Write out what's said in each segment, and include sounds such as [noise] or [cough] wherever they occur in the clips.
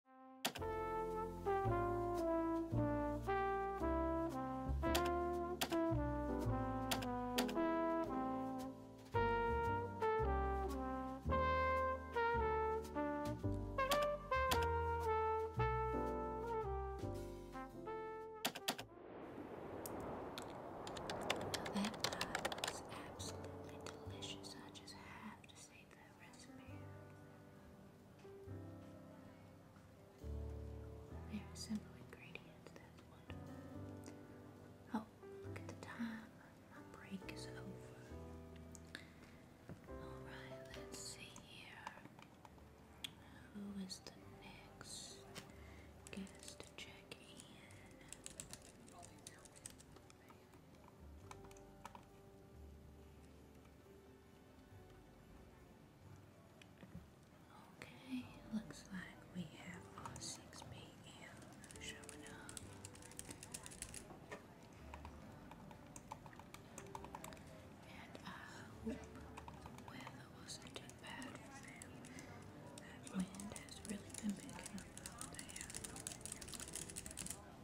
That pie absolutely delicious. I just have to say Oh, look at the time. My break is over. Alright, let's see here. Who is the next guest to check in? Okay, looks like we have our 6 p.m. showing up. And I hope the weather wasn't too bad for wind has really been picking up out there.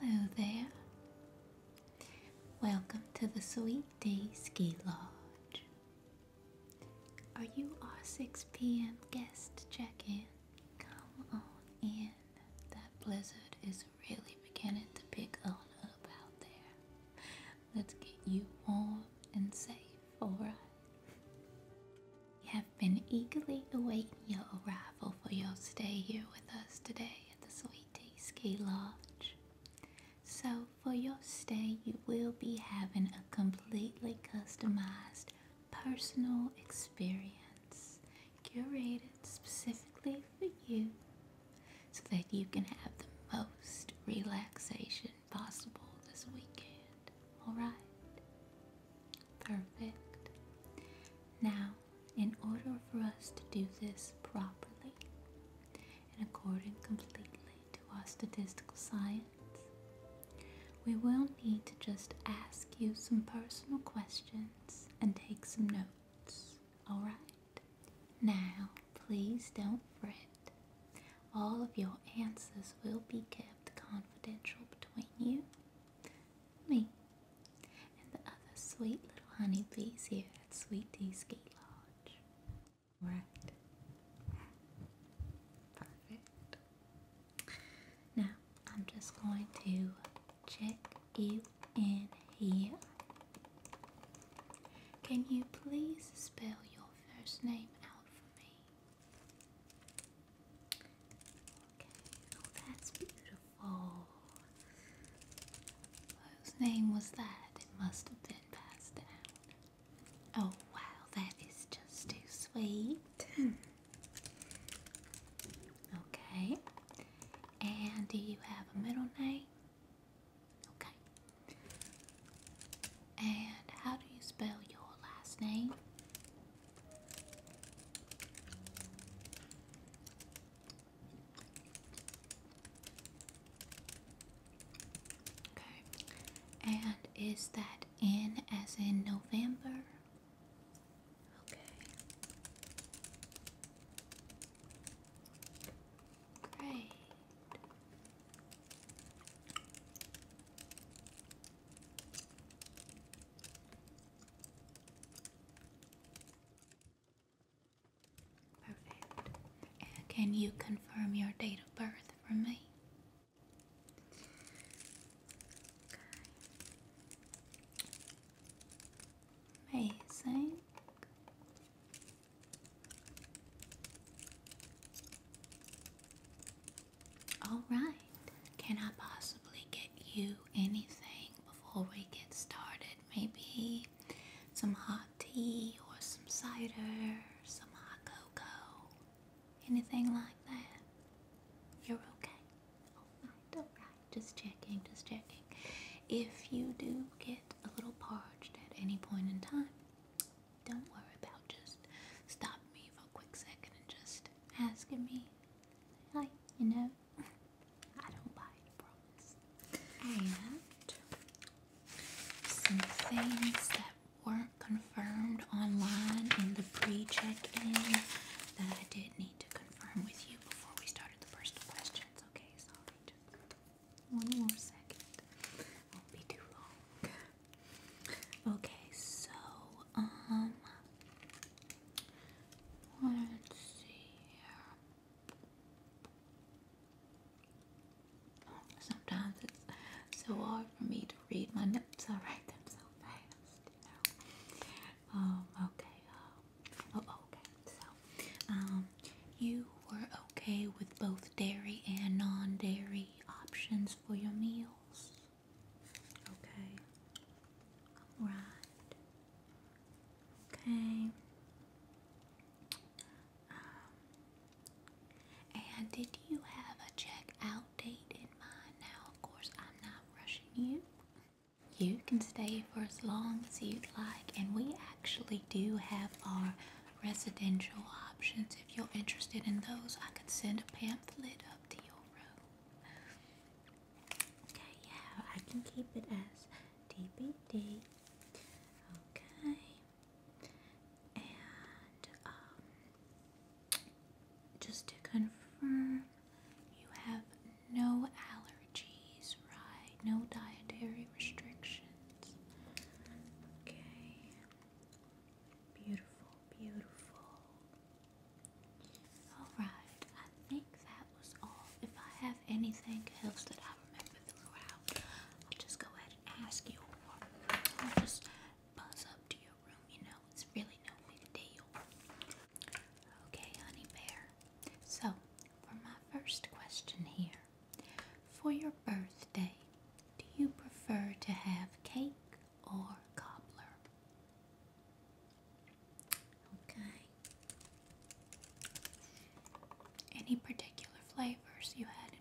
Hello there. Welcome to the Sweet Day Ski Lodge. Are you our 6 p.m. guest check in? Come on in. That blizzard is really beginning to pick on up out there. Let's get you warm and safe for us. We have been eagerly awaiting your arrival for your stay here with us today at the Sweetie Ski Lodge. So, for your stay, you will be having a completely customized personal experience curated specifically for you so that you can have the most relaxation possible this weekend. Alright? Perfect. Now, in order for us to do this properly and according completely to our statistical science, we will need to just ask you some personal questions and take some notes. Alright? Now, Please don't fret. All of your answers will be kept confidential between you, me, and the other sweet little honeybees here at Sweet Tea Ski Lodge. Right. Perfect. Now, I'm just going to check you in here. Can you please spell your first name out for me. Okay, oh, that's beautiful. Whose name was that? It must have been passed down. Oh wow, that is just too sweet. okay, and do you have a middle name? Okay. And how do you spell your last name? Okay. And is that N as in November? Okay. Great. Perfect. can you confirm your date of birth for me? Okay. Amazing. Alright, can I possibly get you anything before we get started? Maybe some hot tea or some cider, some hot cocoa, anything like that? You're okay? Alright, alright, just checking, just checking. If you do get a little parched at any point in time, don't worry about just stop me for a quick second and just asking me like you know [laughs] I don't bite promise and some things that weren't confirmed online in the pre-check-in that I did need to confirm with you before we started the personal questions okay sorry one more second. Won't be too long. Okay, so um let's see here. Sometimes it's so hard for me to read my notes. I write them so fast. You know? Um, okay. Uh, oh, oh, okay. So, um, you were okay with both dairy and non dairy options for your meals. Okay. All right. Okay. Um, and did you have a check out date in mind? Now, of course, I'm not rushing you. You can stay for as long as you'd like, and we actually do have our residential options. If you're interested in those, I could send a pamphlet up to your room. Okay, yeah, I can keep it as DBD. Okay, and um, just to confirm, you have no allergies, right? No dietary restrictions. Okay. Beautiful, beautiful. Alright, I think that was all. If I have anything else that I remember throughout, I'll just go ahead and ask you I'll just buzz up to your room, you know. It's really no big deal. Okay, honey bear. So, for my first question here, for your birthday, do you prefer to have cake or cobbler? Okay. Any particular flavors you had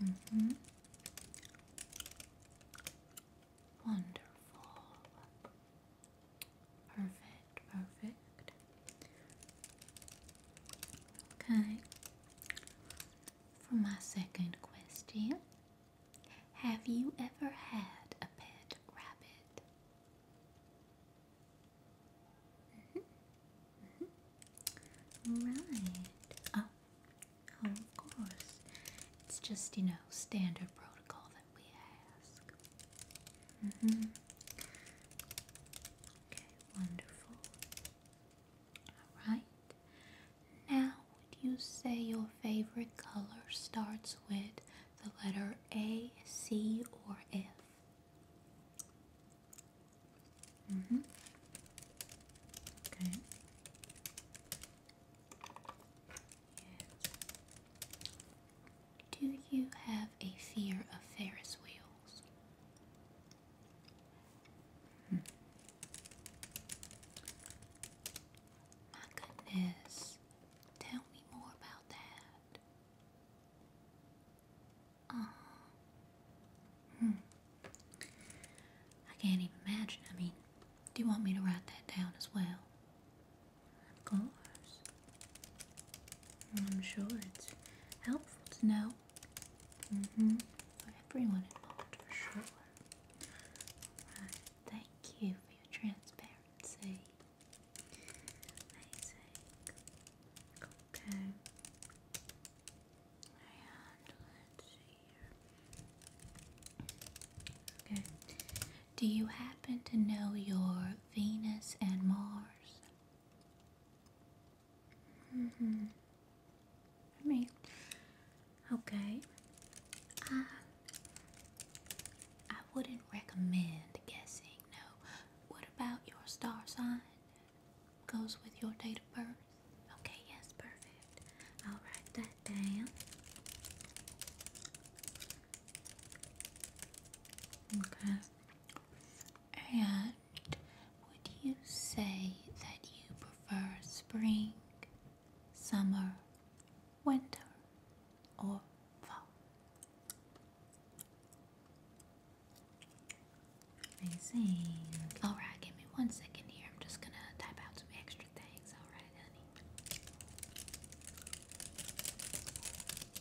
in mind? Mm-hmm. Wonderful. Perfect, perfect. Okay. For my second question, have you ever had a pet rabbit? Mm-hmm, mm-hmm. Right. Oh, oh, of course. It's just, you know, standard protocol that we ask. Mm -hmm. Okay, wonderful. Alright. Now, would you say your favorite color starts with the letter A, C, or F? Mm hmm. Okay. Yes. Do you have a fear of Ferris wheels? Hmm. My goodness, tell me more about that. Oh. Hmm. I can't even imagine. I mean, do you want me to write that down as well? colors. I'm sure it's helpful to know. Mm hmm For everyone involved, for sure. Alright, thank you for your transparency. Amazing. Okay. And let's see here. Okay. Do you happen to know your Venus and Mars. hmm. I okay. I uh, I wouldn't recommend guessing. No. What about your star sign? Goes with your date of birth. Okay. Yes. Perfect. I'll write that down. Okay. And would you say that you prefer spring, summer, winter, or fall? Amazing. Alright, give me one second here. I'm just gonna type out some extra things. Alright, honey.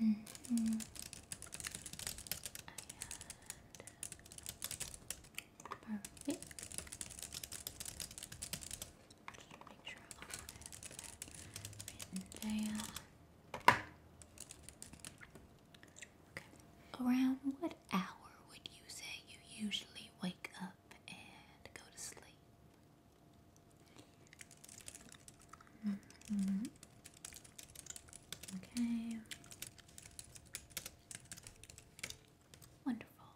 Mm -hmm. and perfect. Just make sure I have Around what hour would you say you usually wake up and go to sleep? Mm-hmm. Okay. Wonderful.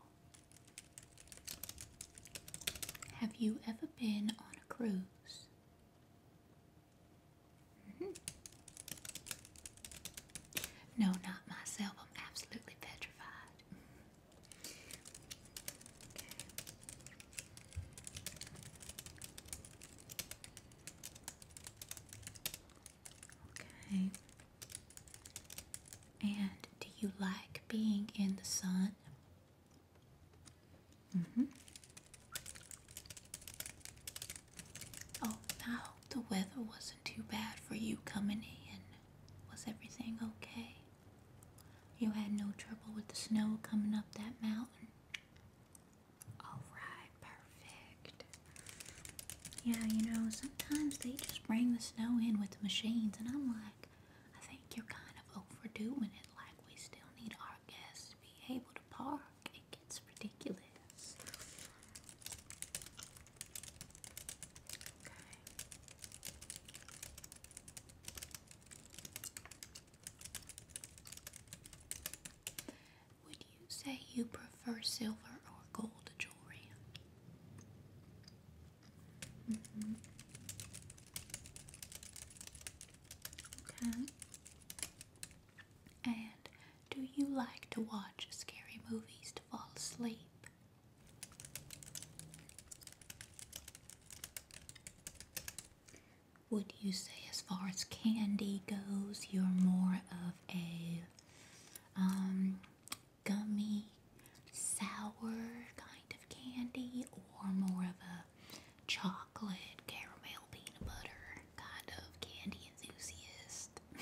Have you ever been on a cruise? Mm-hmm. No, not myself. I'm absolutely petrified. Okay. Okay. And do you like being in the sun? Mm-hmm. Oh, I the weather wasn't too bad for you coming in. Was everything okay? You had no trouble with the snow coming up that mountain? Alright, perfect. Yeah, you know, sometimes they just bring the snow in with the machines, and I'm like, I think you're kind of overdoing it, like, we still need our guests to be able to park. It gets ridiculous. Would you say you prefer silver or gold jewelry? Mm-hmm. And do you like to watch scary movies to fall asleep? Would you say, as far as candy goes, you're more of a um, gummy, sour kind of candy or more of a chocolate, caramel, peanut butter kind of candy enthusiast. [laughs]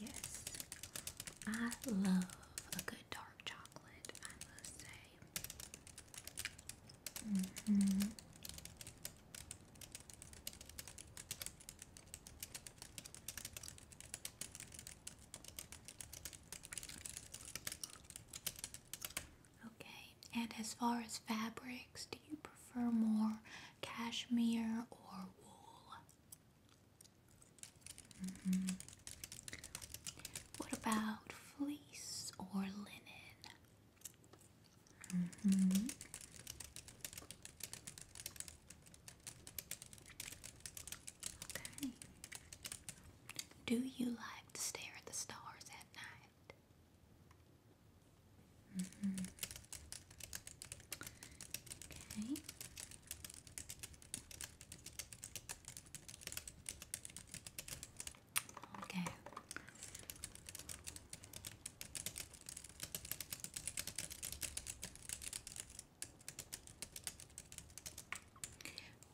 yes, I love a good dark chocolate, I must say. Mm-hmm. Okay, and as far as fabrics, do you prefer more cashmere or wool? Mm-hmm. What about fleece or linen? Mm-hmm. Do you like to stare at the stars at night? Mm-hmm. Okay. Okay.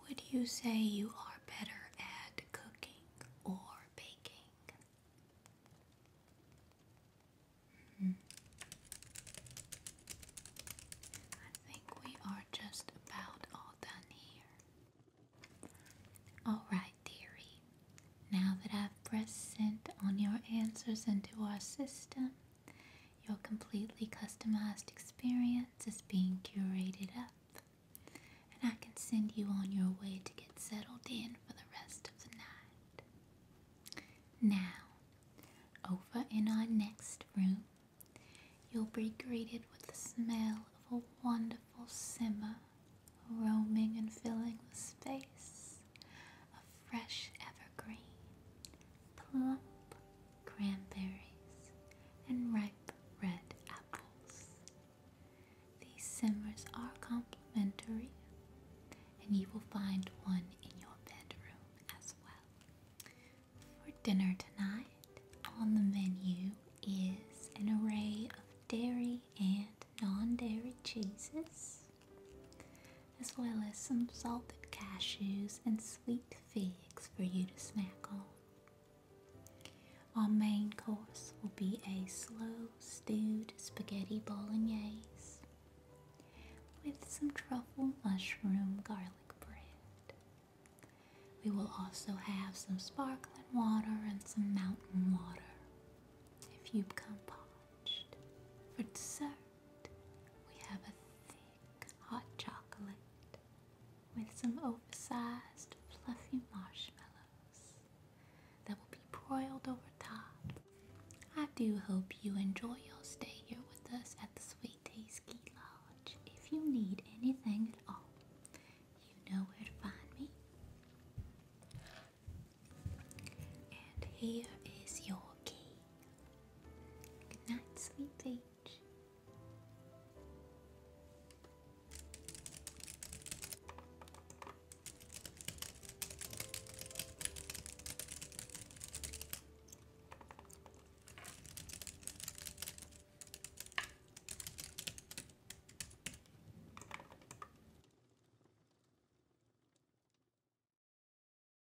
Would you say you are better at cooking or baking? Hmm. I think we are just about all done here. Alright, dearie. Now that I've pressed sent on your answers into our system, your completely customized experience is being curated up, and I can send you on your way to get settled in for the rest of the night. Now, over in our next room, you'll be greeted with the smell of a wonderful simmer roaming and filling the space of fresh Green plump cranberries, and ripe red apples. These simmers are complimentary, and you will find one in your bedroom as well. For dinner tonight, on the menu is an array of dairy and non dairy cheeses as well as some salted cashews and sweet figs for you to snack on. Our main course will be a slow stewed spaghetti bolognese with some truffle mushroom garlic bread. We will also have some sparkling water and some mountain water if you've come parched. For dessert, we have a thick hot chocolate with some oversized fluffy marshmallows that will be broiled over top. I do hope you enjoy your stay here with us at the Sweet Tea Lodge. If you need anything at all, you know where to find me. And here is your key. Good night, sweet peach.